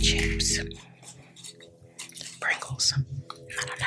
Chips, Pringles, I don't know.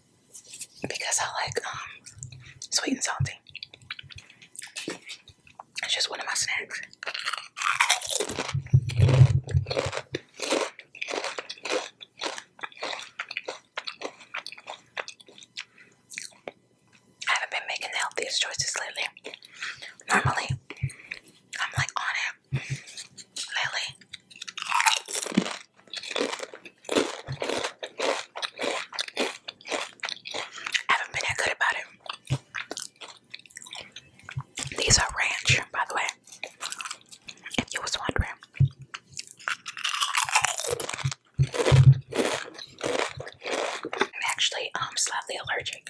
because I like um sweet and salty. It's just one of my snacks. I haven't been making the healthiest choices lately. Normally, I'm like on it. Lately, I haven't been that good about it. These are ranch, by the way. If you was wondering. I'm actually um, slightly allergic.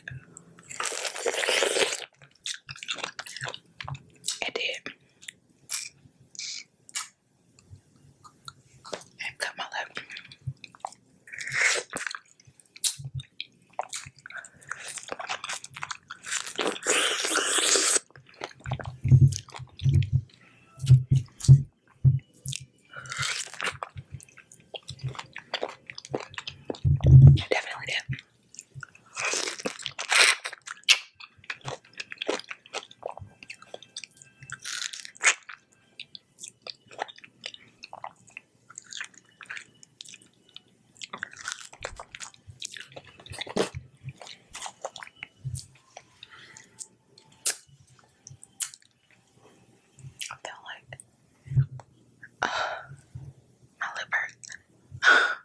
It did cut my lip. I definitely did. I feel like my lip hurts.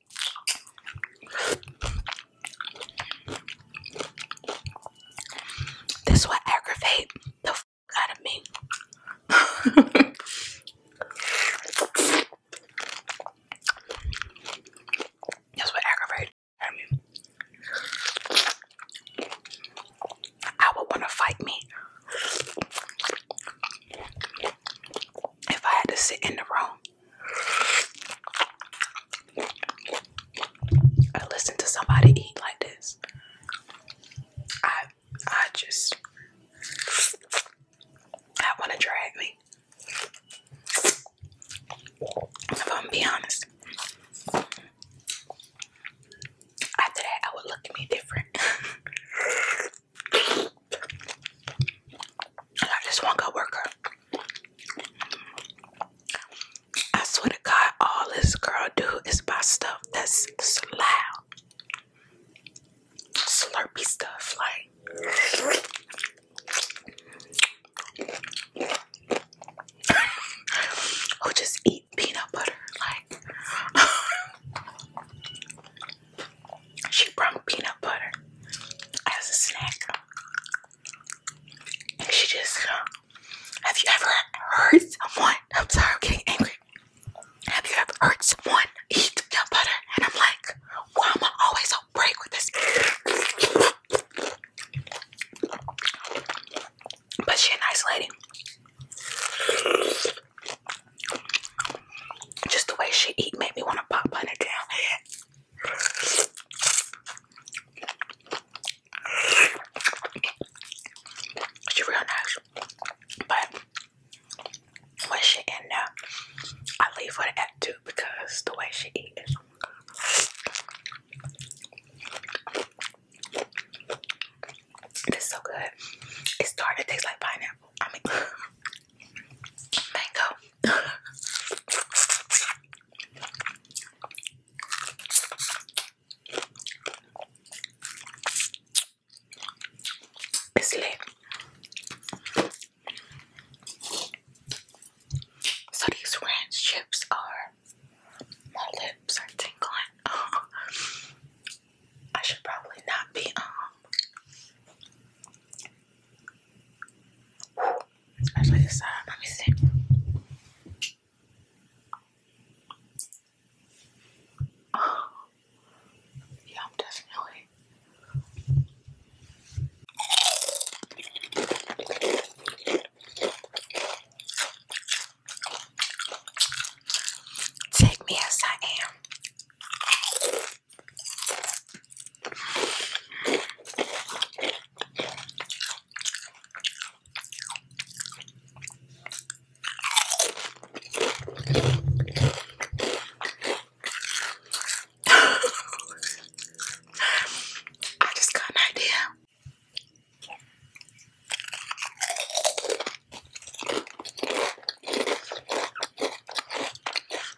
This will aggravate the f out of me. That's what aggravates me. I would want to fight me if I had to sit in the room and listen to somebody eat like this, I I just I want to drag me. If I'm be honest, after that I would look at me different. I got this coworker. I swear to God, all this girl do is buy stuff that's loud, slurpy stuff, like. Who just eat? peanut butter. Like, she brought peanut butter as a snack. And she just, uh, have you ever hurt someone? I'm sorry, I'm getting angry. Have you ever heard someone eat peanut butter? And I'm like, why am I always on break with this? But she's a nice lady. Just the way she eat made me want to pop on her down. She real nice, but when she in there, I leave her at two because the way she eat this is so good. It's tart. It tastes like pineapple. mango. It's lit. So these ranch chips are my lips are tingling. I should probably not be um. Especially this side. Let me see. Oh. definitely. Take me as I am. I just got an idea.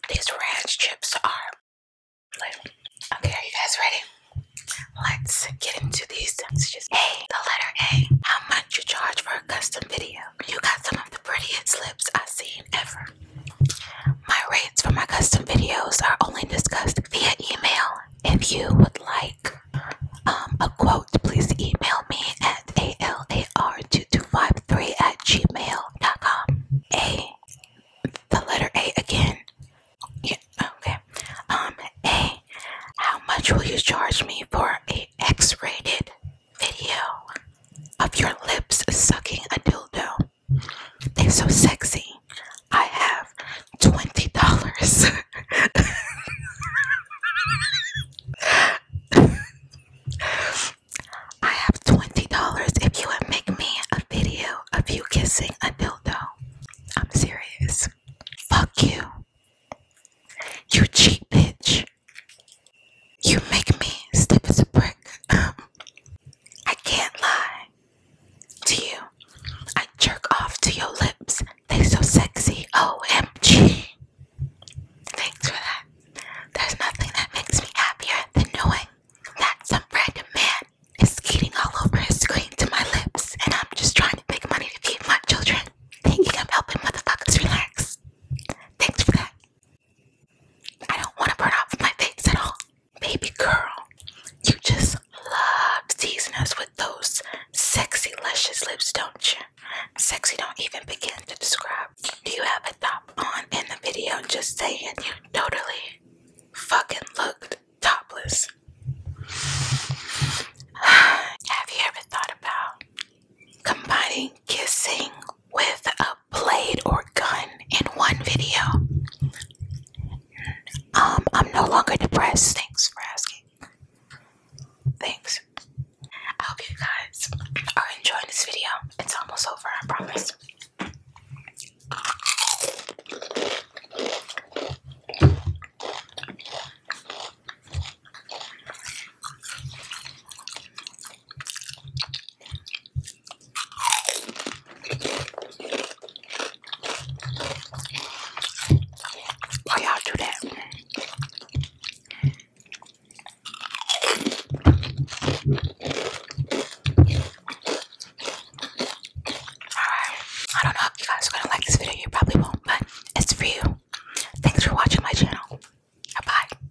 These ranch chips are Okay, are you guys ready? Let's get into these messages. A, the letter A. How much you charge for a custom video? You got some of the prettiest lips I've seen ever. My rates for my custom videos are only discussed via email if you would like um, a quote, please email me at alar2253 at gmail.com. A, the letter A again. Yeah, okay. Um, A, how much will you charge me for a X-rated video of your lips sucking a dildo? They're so sexy. I have twenty dollars. I have twenty dollars if you would make me a video of you kissing a dildo. I'm serious. Fuck you. You cheap bitch. You make me stiff as a brick. Um, I can't lie to you. I jerk off to your lips. They are so sexy. OMG. Thanks for that. There's nothing that makes me happier than knowing that some random man is skating all over his screen to my lips, and I'm just trying to make money to feed my children. Thinking I'm helping motherfuckers relax. Thanks for that. I don't want to burn off my face at all. Baby girl, you just love teasing us with those sexy, luscious lips, don't you? Sexy don't even begin to describe. Do you have a top on in the video? Just saying, you totally fucking looked topless. have you ever thought about combining kissing with a blade or gun in one video. Um, I'm no longer depressed. Thanks for asking. Thanks. I hope you guys are enjoying this video. It's almost over, I promise. Why y'all do that? Alright, I don't know if you guys are gonna like this video, you probably won't, but it's for you. Thanks for watching my channel. Bye bye.